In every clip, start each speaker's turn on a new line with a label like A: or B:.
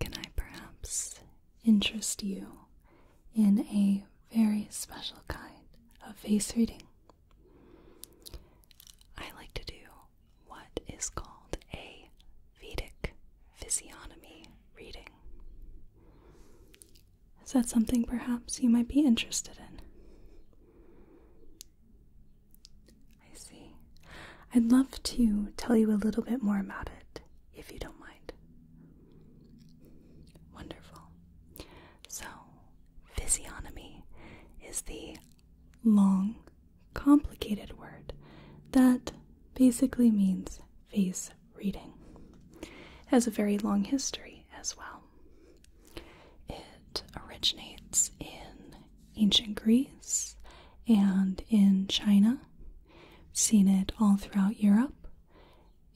A: Can I perhaps interest you in a very special kind of face reading? I like to do what is called a Vedic physiognomy reading. Is that something perhaps you might be interested in? I see. I'd love to tell you a little bit more about it, if you don't mind. Wonderful. So, physiognomy is the long, complicated word that basically means face reading. It has a very long history as well. It originates in ancient Greece and in China seen it all throughout Europe,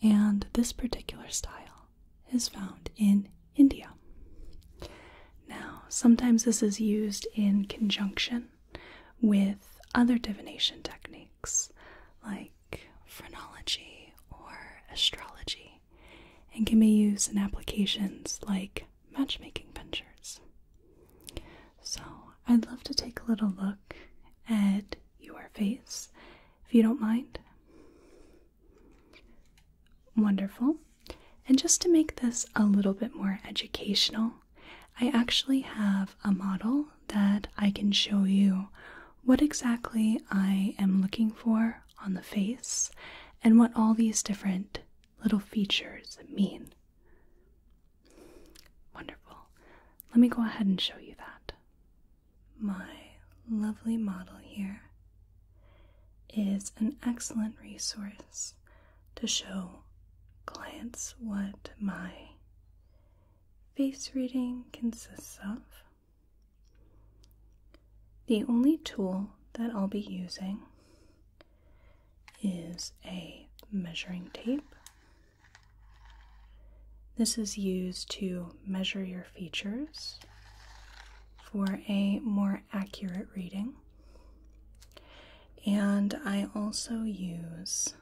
A: and this particular style is found in India. Now, sometimes this is used in conjunction with other divination techniques like phrenology or astrology and can be used in applications like matchmaking ventures. So, I'd love to take a little look at your face if you don't mind. Wonderful. And just to make this a little bit more educational, I actually have a model that I can show you what exactly I am looking for on the face and what all these different little features mean. Wonderful. Let me go ahead and show you that. My lovely model here is an excellent resource to show clients what my face reading consists of. The only tool that I'll be using is a measuring tape. This is used to measure your features for a more accurate reading. And I also use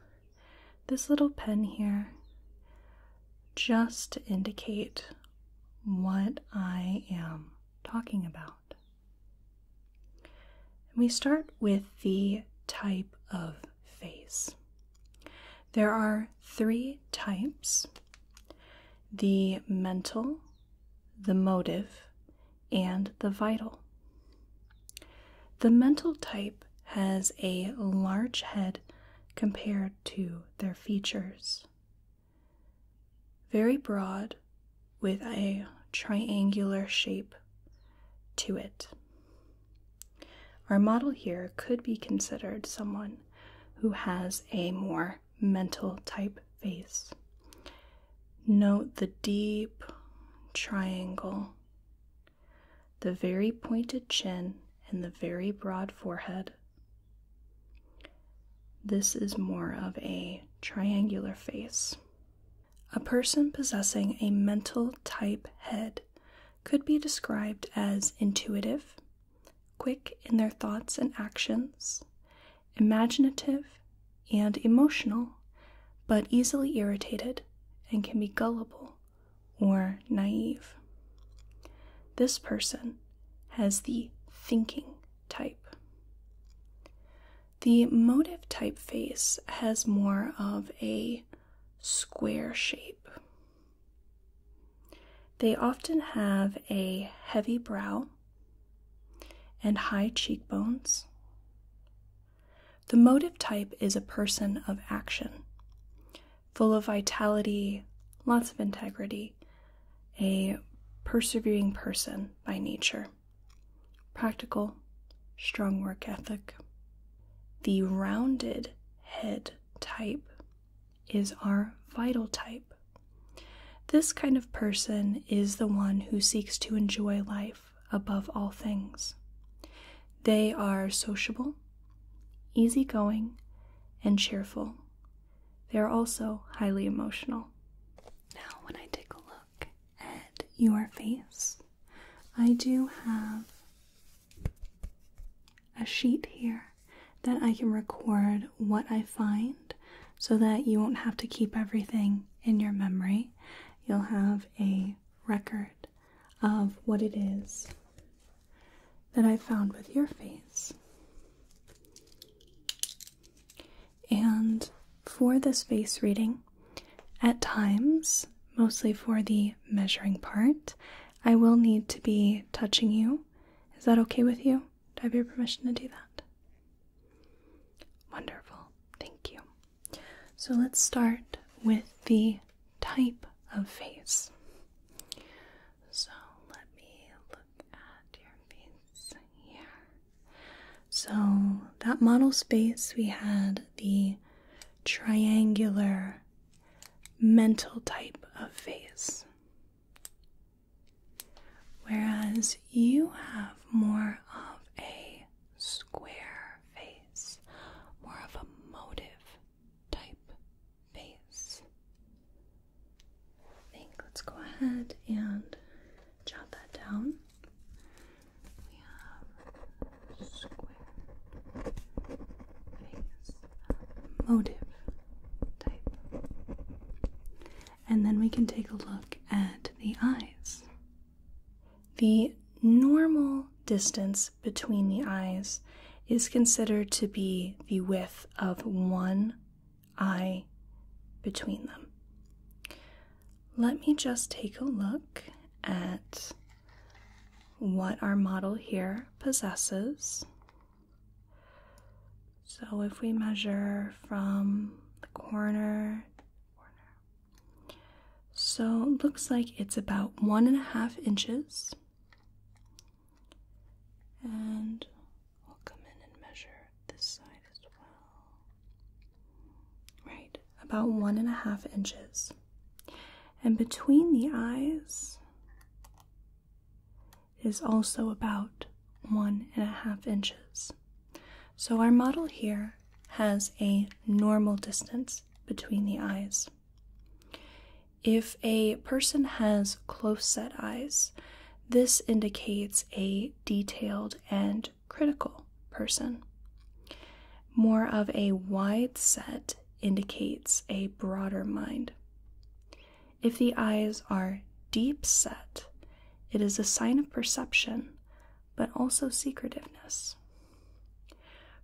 A: this little pen here just to indicate what I am talking about. We start with the type of face. There are three types the mental, the motive, and the vital. The mental type has a large head compared to their features, very broad with a triangular shape to it. Our model here could be considered someone who has a more mental type face. Note the deep triangle, the very pointed chin, and the very broad forehead. This is more of a triangular face. A person possessing a mental type head could be described as intuitive, quick in their thoughts and actions, imaginative, and emotional, but easily irritated and can be gullible or naive. This person has the thinking type. The motive typeface has more of a square shape. They often have a heavy brow and high cheekbones. The motive type is a person of action, full of vitality, lots of integrity, a persevering person by nature practical, strong work ethic. The rounded head type is our vital type. This kind of person is the one who seeks to enjoy life above all things. They are sociable, easygoing, and cheerful. They are also highly emotional. Now, when I take a look at your face, I do have a sheet here that I can record what I find so that you won't have to keep everything in your memory. You'll have a record of what it is that I found with your face. And for the face reading, at times, mostly for the measuring part, I will need to be touching you. Is that okay with you? Do I have your permission to do that? Wonderful. Thank you. So let's start with the type of face. So let me look at your face here. So, that model space, we had the triangular mental type of face. Whereas you have more of a square face, more of a motive type face. think let's go ahead and jot that down we have square uh, motive type. And then we can take a look at the eyes. The normal distance between the eyes is considered to be the width of one eye between them. Let me just take a look at what our model here possesses. So if we measure from the corner, so looks like it's about one and a half inches. And we'll come in and measure this side as well. Right, about one and a half inches. And between the eyes is also about one and a half inches. So our model here has a normal distance between the eyes. If a person has close set eyes, this indicates a detailed and critical person. More of a wide set indicates a broader mind. If the eyes are deep set, it is a sign of perception, but also secretiveness.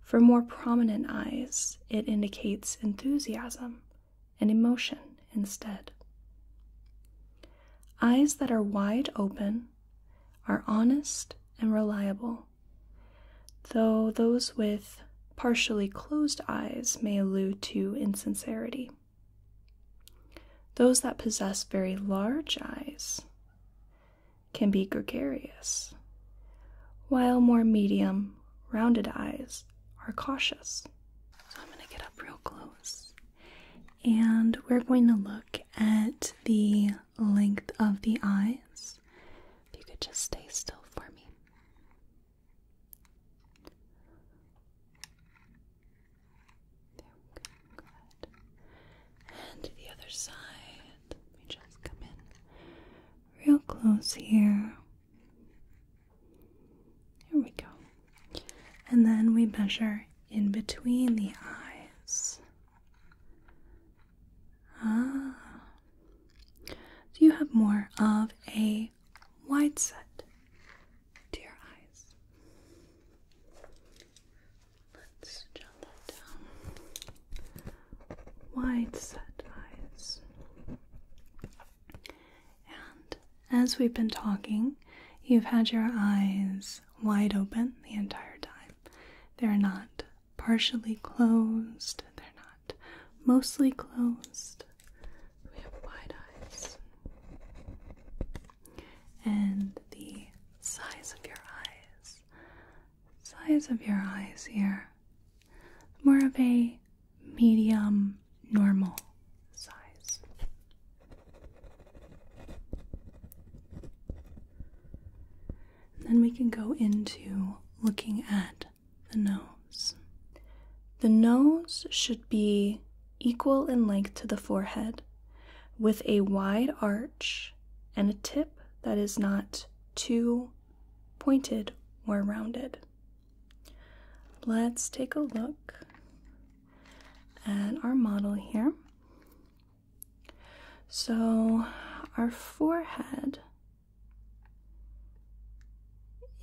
A: For more prominent eyes, it indicates enthusiasm and emotion instead. Eyes that are wide open are honest and reliable, though those with partially closed eyes may allude to insincerity. Those that possess very large eyes can be gregarious, while more medium, rounded eyes are cautious. So I'm going to get up real close and we're going to look at the length of the eyes. If you could just stay still for me. There we go. Good. And the other side. Let me just come in real close here. Here we go. And then we measure in between the eyes. Ah. So you have more of a wide set to your eyes. Let's jot that down. Wide set eyes. And as we've been talking, you've had your eyes wide open the entire time. They're not partially closed, they're not mostly closed. We have wide eyes. And the size of your eyes. Size of your eyes here. More of a medium normal size. then we can go into looking at the nose. The nose should be equal in length to the forehead with a wide arch and a tip that is not too pointed or rounded. Let's take a look and our model here. So, our forehead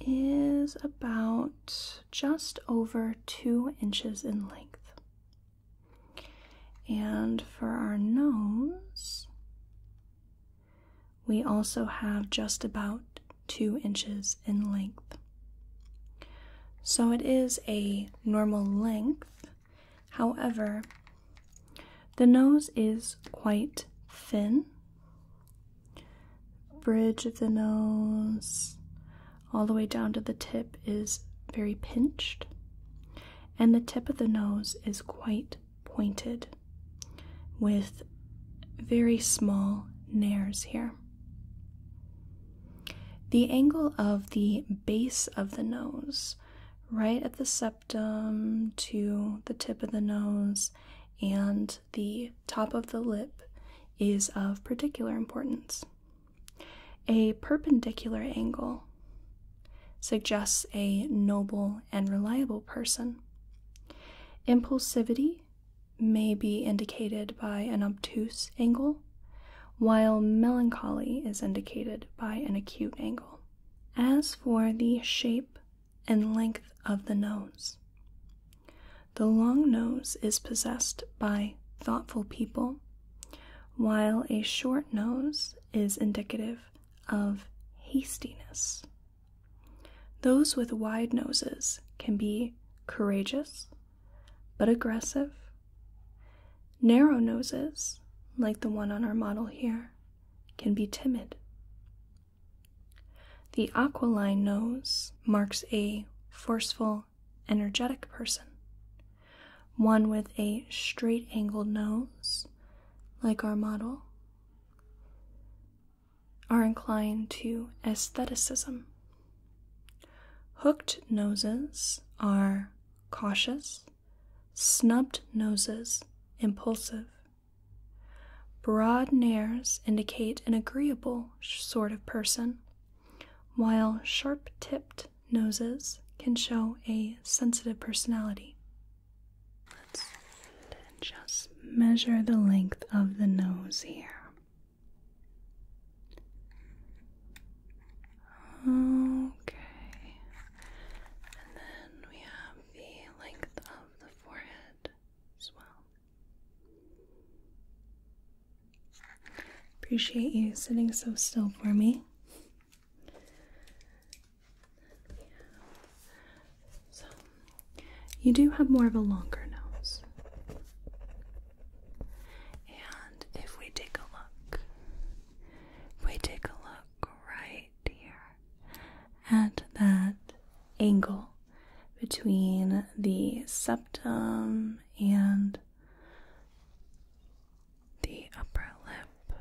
A: is about just over two inches in length. And for our nose, we also have just about two inches in length. So it is a normal length, however, the nose is quite thin. Bridge of the nose, all the way down to the tip, is very pinched, and the tip of the nose is quite pointed with very small nares here. The angle of the base of the nose, right at the septum to the tip of the nose and the top of the lip, is of particular importance. A perpendicular angle suggests a noble and reliable person. Impulsivity may be indicated by an obtuse angle, while melancholy is indicated by an acute angle. As for the shape and length of the nose, the long nose is possessed by thoughtful people, while a short nose is indicative of hastiness. Those with wide noses can be courageous but aggressive. Narrow noses, like the one on our model here, can be timid. The aquiline nose marks a forceful, energetic person, one with a straight angled nose, like our model, are inclined to aestheticism Hooked noses are cautious, snubbed noses, impulsive. Broad nares indicate an agreeable sort of person, while sharp tipped noses can show a sensitive personality. Let's just measure the length of the nose here. Okay. And then we have the length of the forehead as well. Appreciate you sitting so still for me. So, you do have more of a longer nose. And if we take a look, we take a look right here at that angle between the septum and the upper lip,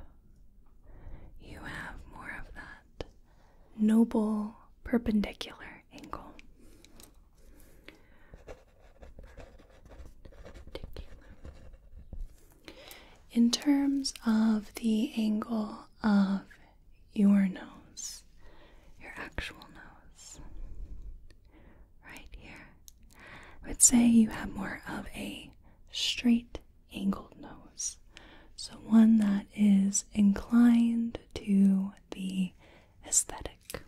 A: you have more of that noble perpendicular angle. In terms of the angle of your nose, your actual nose, right here, I would say you have more of a straight angled nose. So one that is inclined to the aesthetic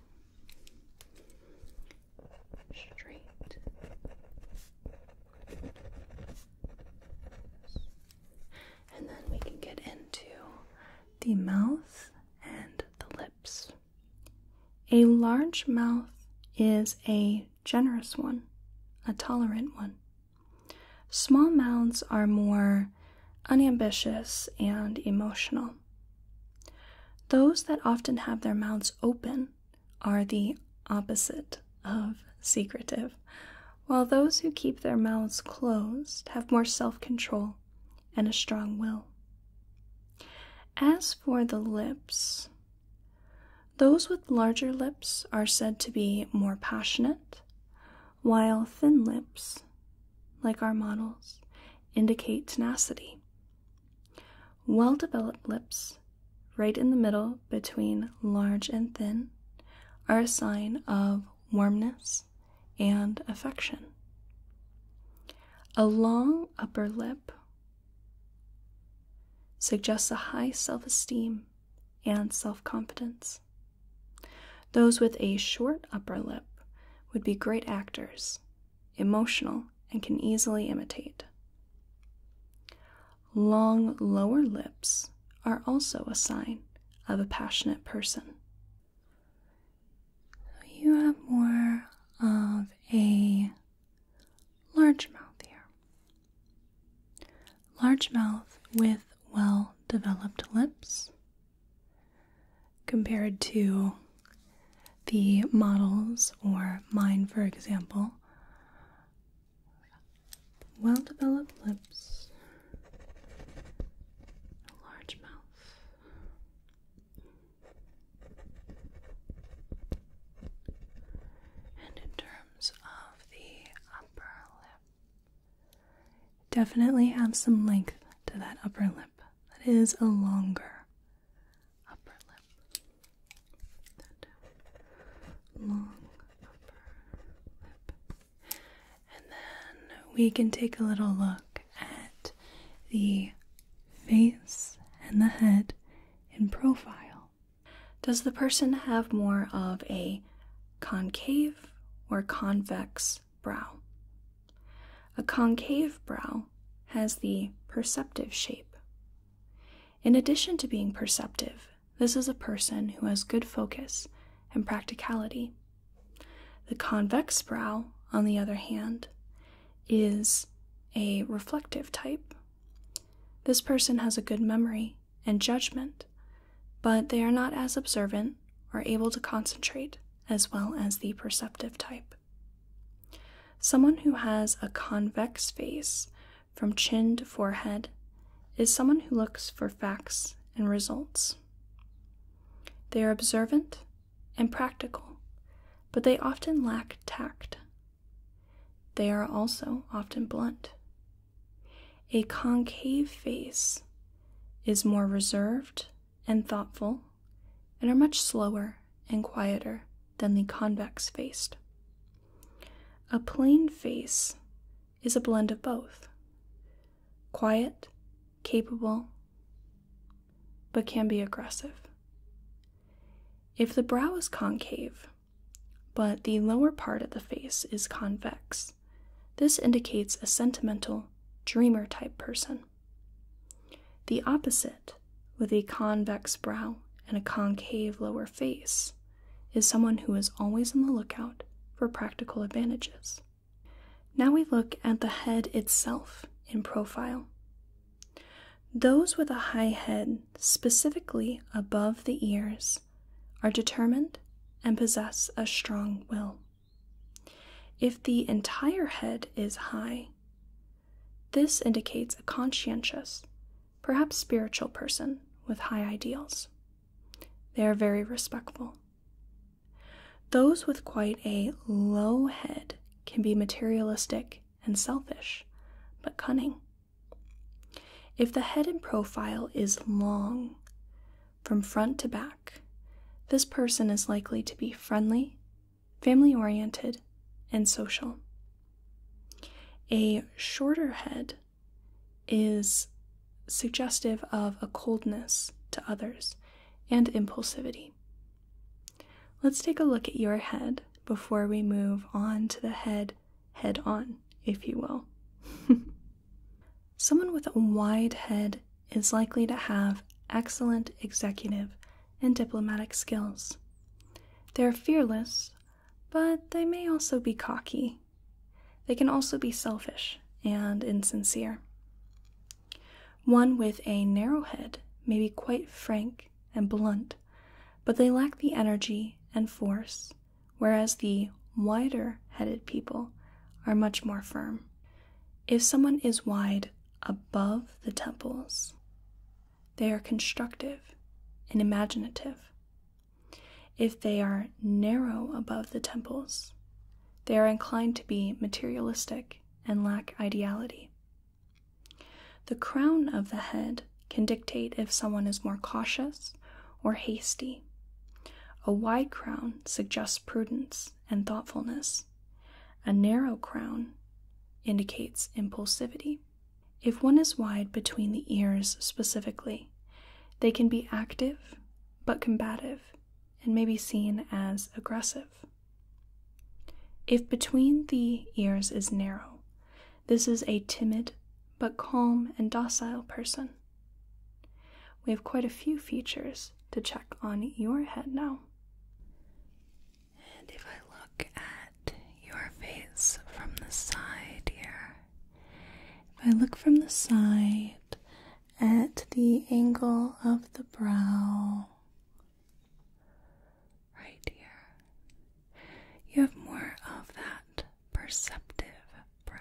A: straight and then we can get into the mouth and the lips. A large mouth is a generous one, a tolerant one. Small mouths are more unambitious and emotional. Those that often have their mouths open are the opposite of secretive, while those who keep their mouths closed have more self control and a strong will. As for the lips, those with larger lips are said to be more passionate, while thin lips like our models, indicate tenacity. Well developed lips, right in the middle between large and thin, are a sign of warmness and affection. A long upper lip suggests a high self esteem and self confidence. Those with a short upper lip would be great actors, emotional, and can easily imitate. Long lower lips are also a sign of a passionate person. you have more of a large mouth here. Large mouth with well developed lips compared to the models or mine, for example. Well developed lips, a large mouth, and in terms of the upper lip, definitely have some length to that upper lip. That is a longer upper lip. And then we can take a little look at the face and the head in profile. Does the person have more of a concave or convex brow. A concave brow has the perceptive shape. In addition to being perceptive, this is a person who has good focus and practicality. The convex brow, on the other hand, is a reflective type. This person has a good memory and judgment, but they are not as observant are able to concentrate as well as the perceptive type. Someone who has a convex face from chin to forehead is someone who looks for facts and results. They are observant and practical, but they often lack tact. They are also often blunt. A concave face is more reserved and thoughtful, and are much slower and quieter than the convex faced. A plain face is a blend of both quiet, capable, but can be aggressive. If the brow is concave, but the lower part of the face is convex, this indicates a sentimental, dreamer type person. The opposite, with a convex brow and a concave lower face, is someone who is always on the lookout for practical advantages. Now we look at the head itself in profile. Those with a high head, specifically above the ears, are determined and possess a strong will. If the entire head is high, this indicates a conscientious, perhaps spiritual person with high ideals. They are very respectful. Those with quite a low head can be materialistic and selfish, but cunning. If the head and profile is long, from front to back, this person is likely to be friendly, family oriented, and social. A shorter head is suggestive of a coldness to others and impulsivity. Let's take a look at your head before we move on to the head head on, if you will. Someone with a wide head is likely to have excellent executive and diplomatic skills. They're fearless, but they may also be cocky. They can also be selfish and insincere. One with a narrow head may be quite frank and blunt, but they lack the energy and force, whereas the wider headed people are much more firm. If someone is wide above the temples, they are constructive and imaginative. If they are narrow above the temples, they are inclined to be materialistic and lack ideality. The crown of the head can dictate if someone is more cautious or hasty. A wide crown suggests prudence and thoughtfulness. A narrow crown indicates impulsivity. If one is wide between the ears specifically, they can be active but combative and may be seen as aggressive. If between the ears is narrow, this is a timid but calm and docile person. We have quite a few features to check on your head now. And if I look at your face from the side dear, if I look from the side at the angle of the brow, right here, you have more of that perceptive brow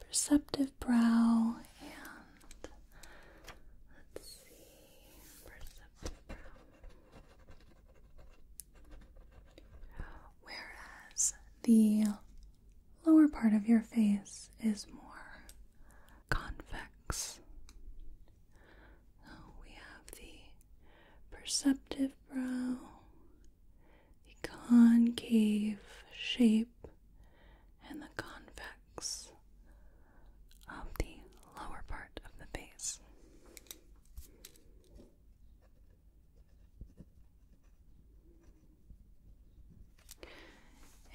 A: perceptive brow and let's see, Whereas the lower part of your face is more convex. we have the perceptive brow the concave shape and the convex of the lower part of the face.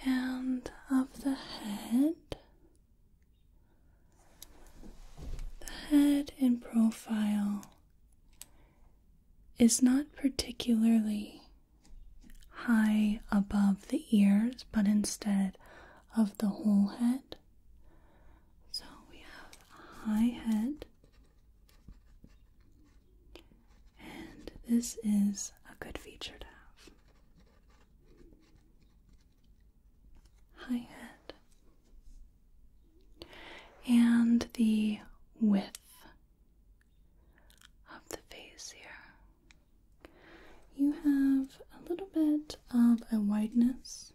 A: And of the head, the head in profile is not particularly high above the ears, but instead of the whole head. So we have high head, and this is a good feature to have. High head. And the width of the face here. You have a little bit of a wideness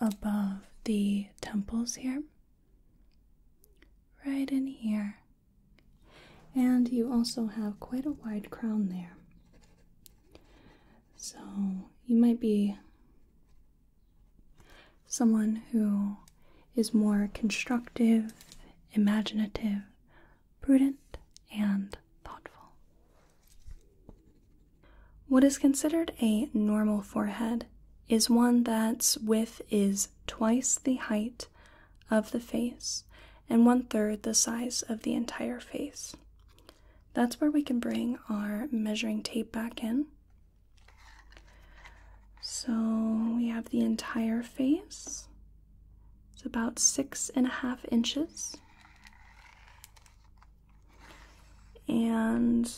A: above the temples here, right in here, and you also have quite a wide crown there. So you might be Someone who is more constructive, imaginative, prudent, and thoughtful. What is considered a normal forehead is one that's width is twice the height of the face and one third the size of the entire face. That's where we can bring our measuring tape back in so we have the entire face. It's about six and a half inches. And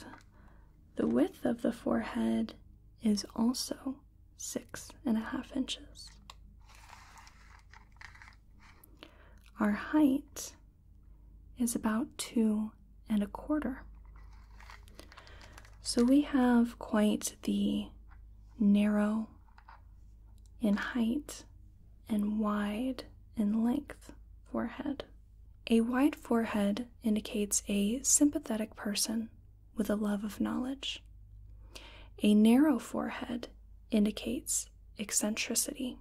A: the width of the forehead is also six and a half inches. Our height is about two and a quarter. So we have quite the narrow in height and wide in length forehead. A wide forehead indicates a sympathetic person with a love of knowledge. A narrow forehead indicates eccentricity.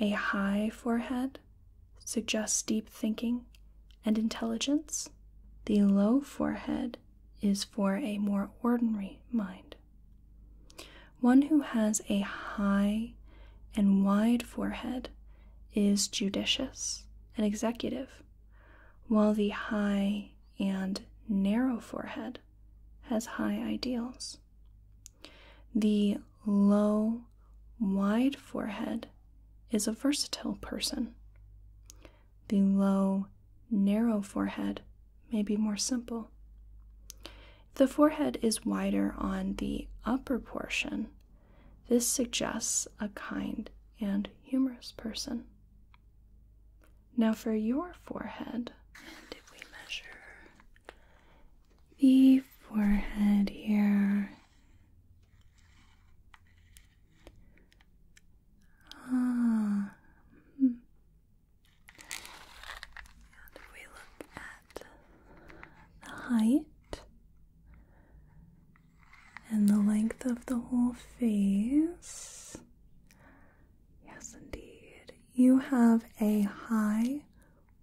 A: A high forehead suggests deep thinking and intelligence. The low forehead is for a more ordinary mind. One who has a high and wide forehead is judicious and executive, while the high and narrow forehead has high ideals. The low, wide forehead is a versatile person. The low, narrow forehead may be more simple. The forehead is wider on the upper portion. This suggests a kind and humorous person. Now, for your forehead, And if we measure the forehead here? Ah. And if we look at the height and the length of the whole face, yes, indeed, you have a high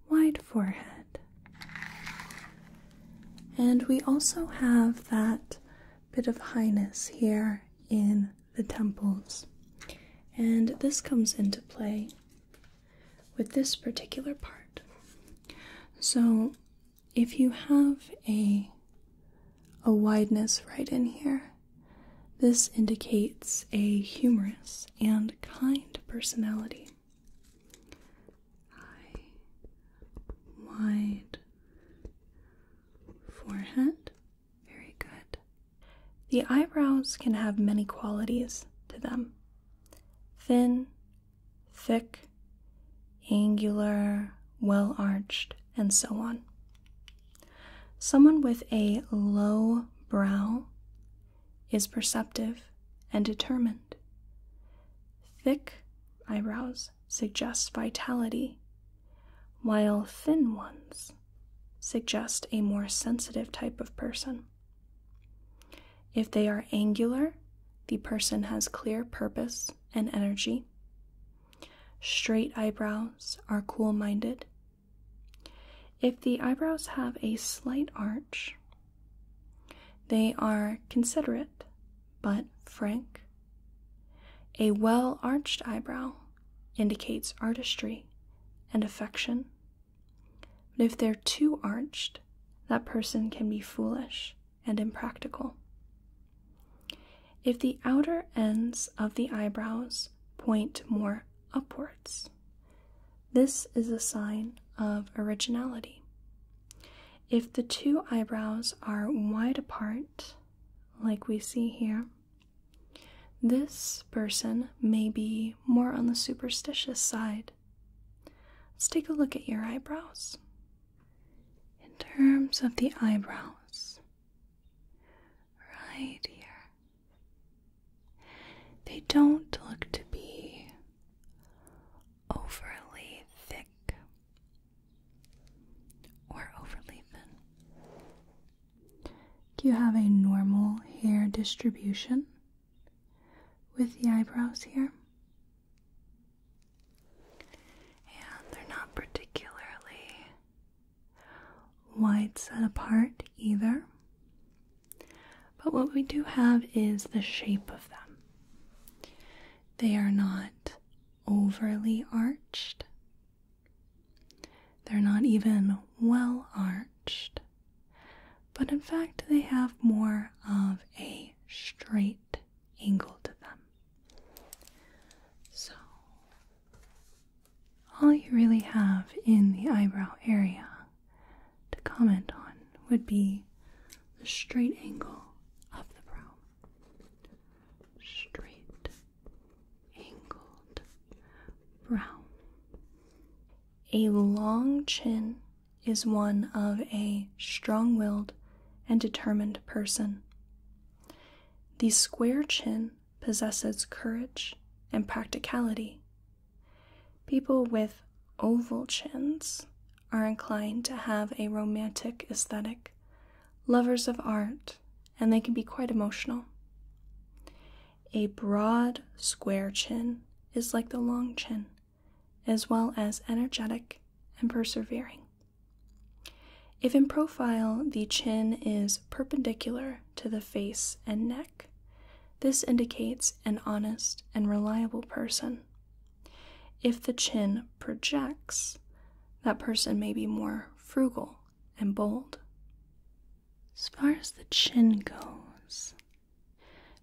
A: wide forehead. And we also have that bit of highness here in the temples. And this comes into play with this particular part. So if you have a a wideness right in here, this indicates a humorous and kind personality high, wide forehead. Very good. The eyebrows can have many qualities to them thin, thick, angular, well arched, and so on. Someone with a low brow is perceptive and determined. Thick eyebrows suggest vitality, while thin ones suggest a more sensitive type of person. If they are angular, the person has clear purpose and energy. Straight eyebrows are cool minded. If the eyebrows have a slight arch, they are considerate but frank. A well arched eyebrow indicates artistry and affection. But if they're too arched, that person can be foolish and impractical. If the outer ends of the eyebrows point more upwards, this is a sign of originality. If the two eyebrows are wide apart, like we see here, this person may be more on the superstitious side. Let's take a look at your eyebrows. In terms of the eyebrows, right here, they don't look to be overly thick or overly thin. You have a normal hair distribution with the eyebrows here. And they're not particularly wide set apart either. But what we do have is the shape of them. They are not overly arched, they're not even well arched, but in fact, they have more of a straight angle to them. So, all you really have in the eyebrow area to comment on would be the straight angle of the brow. Straight angled brow. A long chin is one of a strong willed and determined person. The square chin possesses courage and practicality People with oval chins are inclined to have a romantic aesthetic, lovers of art, and they can be quite emotional. A broad, square chin is like the long chin, as well as energetic and persevering. If in profile the chin is perpendicular to the face and neck, this indicates an honest and reliable person. If the chin projects, that person may be more frugal and bold. As far as the chin goes,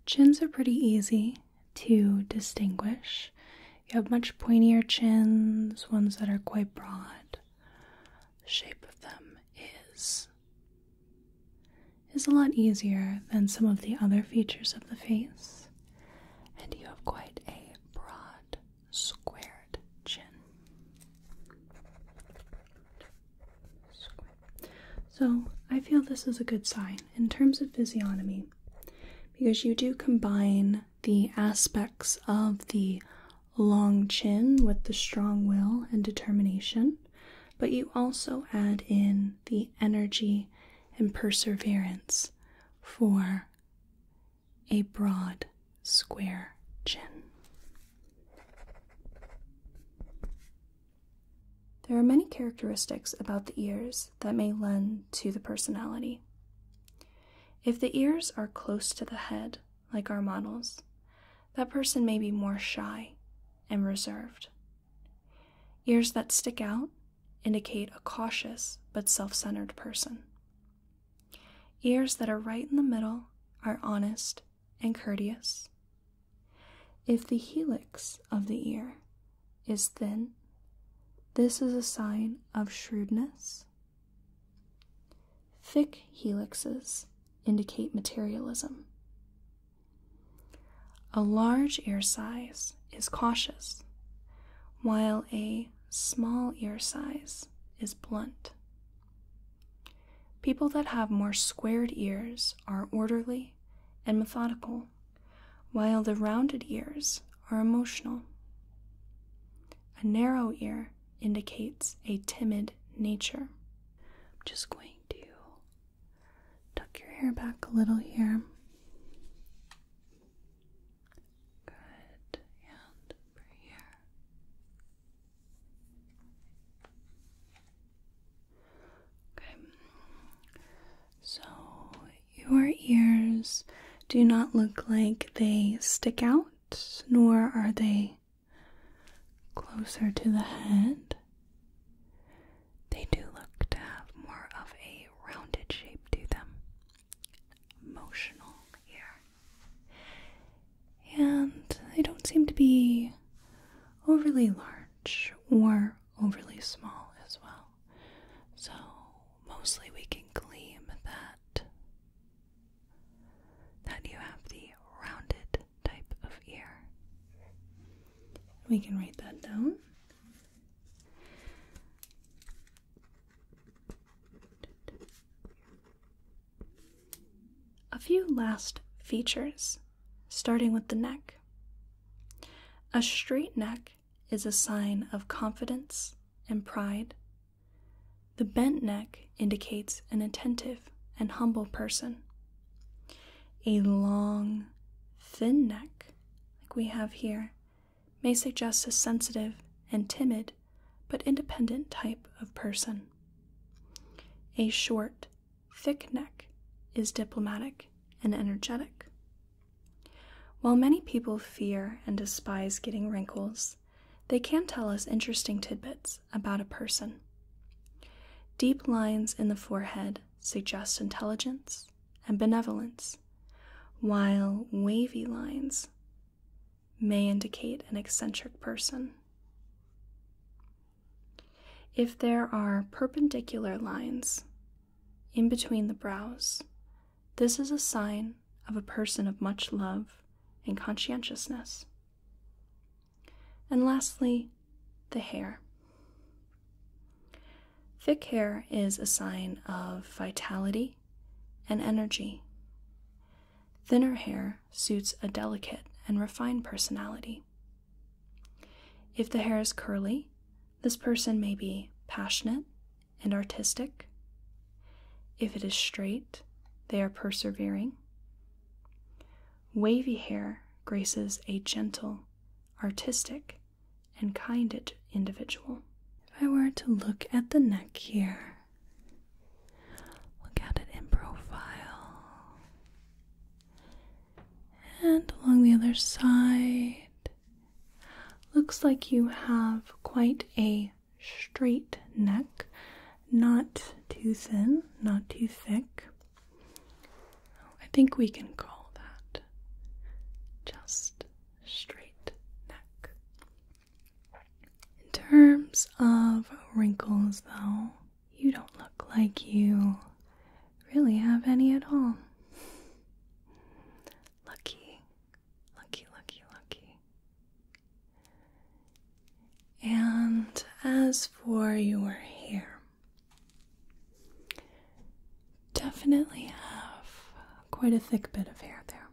A: chins are pretty easy to distinguish. You have much pointier chins, ones that are quite broad. The shape of them is is a lot easier than some of the other features of the face, and you have quite a broad, squared chin. So, I feel this is a good sign in terms of physiognomy because you do combine the aspects of the long chin with the strong will and determination, but you also add in the energy and perseverance for a broad square chin. There are many characteristics about the ears that may lend to the personality. If the ears are close to the head, like our models, that person may be more shy and reserved Ears that stick out indicate a cautious but self centered person. Ears that are right in the middle are honest and courteous. If the helix of the ear is thin, this is a sign of shrewdness. Thick helixes indicate materialism. A large ear size is cautious, while a small ear size is blunt. People that have more squared ears are orderly and methodical, while the rounded ears are emotional. A narrow ear indicates a timid nature. I'm just going to Tuck your hair back a little here. Good. And here. Okay. So your ears do not look like they stick out, nor are they closer to the head. They do look to have more of a rounded shape to them. Emotional here. And they don't seem to be overly large or overly small as well. So mostly we can gleam that that you have the rounded type of ear. We can write that down. A few last features, starting with the neck. A straight neck is a sign of confidence and pride. The bent neck indicates an attentive and humble person a long, thin neck, like we have here, may suggest a sensitive and timid but independent type of person. A short, thick neck is diplomatic and energetic. While many people fear and despise getting wrinkles, they can tell us interesting tidbits about a person. Deep lines in the forehead suggest intelligence and benevolence, while wavy lines may indicate an eccentric person. If there are perpendicular lines in between the brows, this is a sign of a person of much love and conscientiousness. And lastly, the hair. Thick hair is a sign of vitality and energy. Thinner hair suits a delicate and refined personality. If the hair is curly, this person may be passionate and artistic. If it is straight, they are persevering. Wavy hair graces a gentle, artistic, and kind individual. If I were to look at the neck here, look at it in profile, and along the other side, looks like you have quite a straight neck, not too thin, not too thick. I think we can call that just straight neck. In terms of wrinkles, though, you don't look like you really have any at all. Lucky, lucky, lucky, lucky. And as for your hair, Definitely have quite a thick bit of hair there.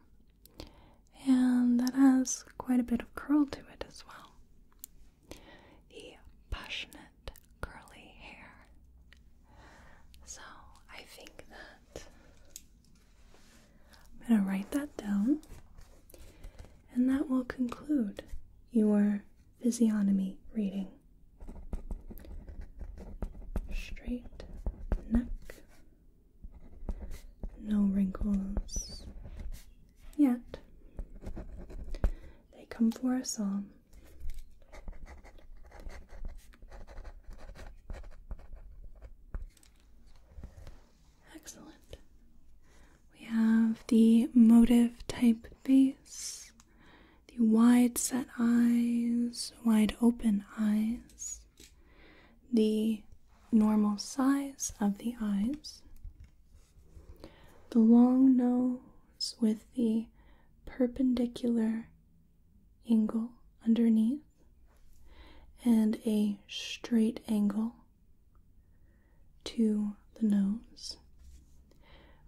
A: And that has quite a bit of curl to it as well. The passionate curly hair. So I think that I'm going to write that down, and that will conclude your physiognomy reading. Straight neck, no wrinkles yet. They come for us all. Excellent. We have the motive type Face, the wide set eyes, wide open eyes, the normal size of the eyes, the long nose with the perpendicular angle underneath, and a straight angle to the nose.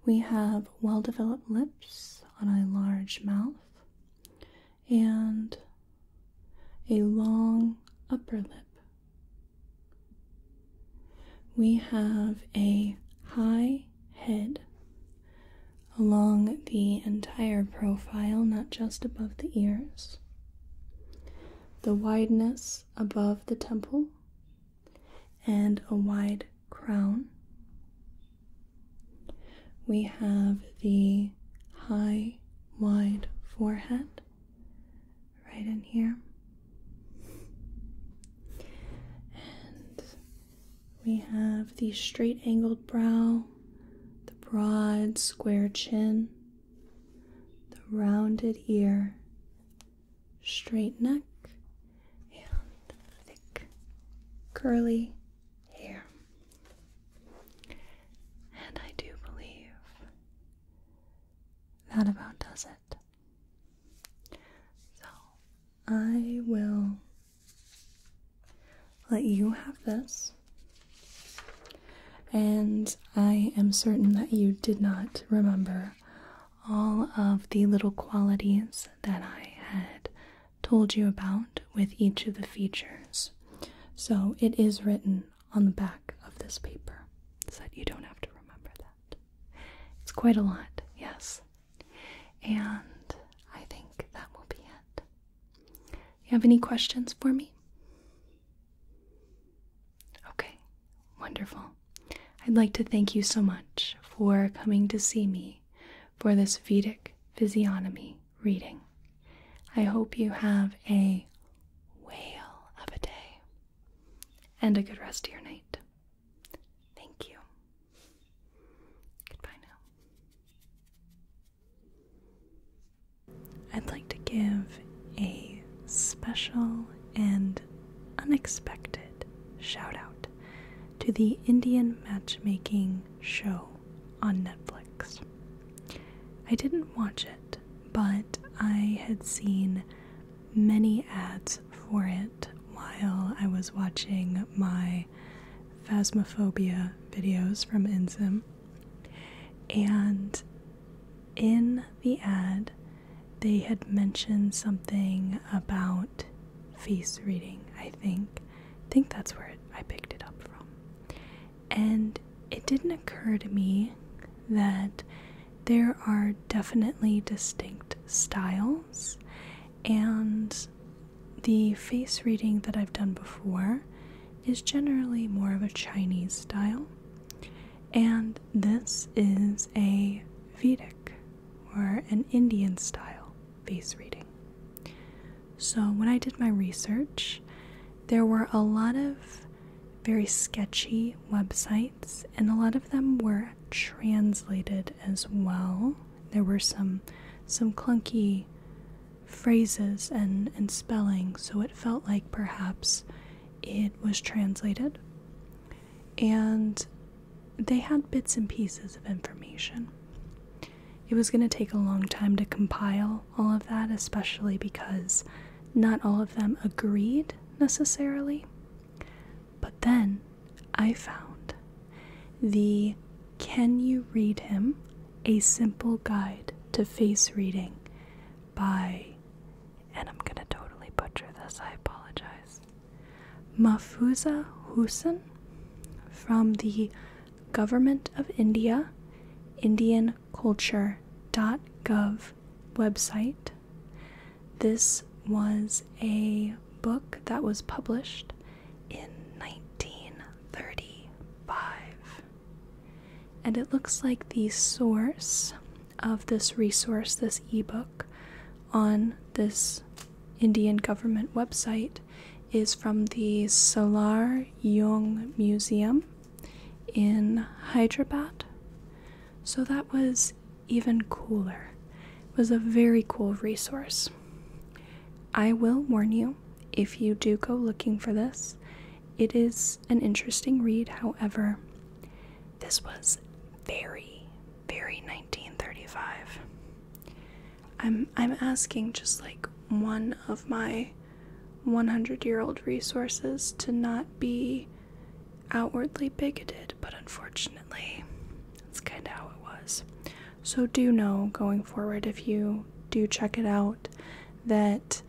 A: We have well developed lips on a large mouth and a long upper lip. We have a high head along the entire profile, not just above the ears. The wideness above the temple and a wide crown. We have the high, wide forehead right in here. And we have the straight angled brow, the broad square chin, the rounded ear, straight neck, and thick curly hair. And I do believe that about does it. So I will let you have this. And I am certain that you did not remember all of the little qualities that I had told you about with each of the features. So it is written on the back of this paper so that you don't have to remember that. It's quite a lot, yes. And I think that will be it. You have any questions for me? Okay, wonderful. I'd like to thank you so much for coming to see me for this Vedic physiognomy reading. I hope you have a whale of a day and a good rest of your night. Thank you. Goodbye now. I'd like to give a special and unexpected shout out to the Indian matchmaking show on Netflix. I didn't watch it, but I had seen many ads for it while I was watching my Phasmophobia videos from Insim. And in the ad, they had mentioned something about face reading, I think. I think that's where I picked it up from. And it didn't occur to me that there are definitely distinct styles, and the face reading that I've done before is generally more of a Chinese style. And this is a Vedic or an Indian style face reading. So, when I did my research, there were a lot of very sketchy websites, and a lot of them were translated as well. There were some some clunky phrases and, and spelling, so it felt like perhaps it was translated, and they had bits and pieces of information. It was going to take a long time to compile all of that, especially because not all of them agreed necessarily. But then I found the Can You Read Him? A Simple Guide to Face Reading by and I'm gonna totally butcher this, I apologize. Mahfuza Hussain from the Government of India, IndianCulture.gov website. This was a book that was published in 1935. And it looks like the source of this resource, this ebook, on this Indian government website is from the Salar Jung Museum in Hyderabad. So that was even cooler. It was a very cool resource. I will warn you if you do go looking for this, it is an interesting read, however, this was very, very 1935. I'm I'm asking just like one of my 100-year-old resources to not be outwardly bigoted, but unfortunately, that's kind of how it was. So do know going forward if you do check it out that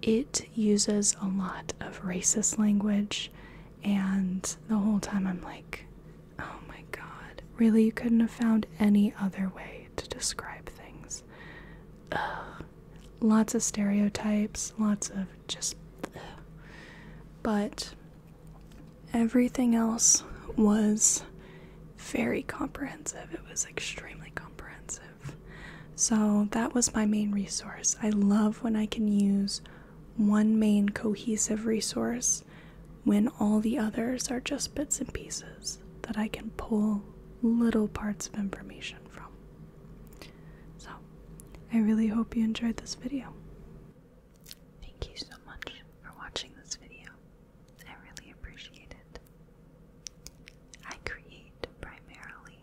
A: it uses a lot of racist language, and the whole time I'm like, oh my god, really? You couldn't have found any other way to describe things. Lots of stereotypes, lots of just. But everything else was very comprehensive. It was extremely comprehensive. So that was my main resource. I love when I can use one main cohesive resource when all the others are just bits and pieces that I can pull little parts of information from. So I really hope you enjoyed this video. Thank you so much for watching this video. I really appreciate it. I create primarily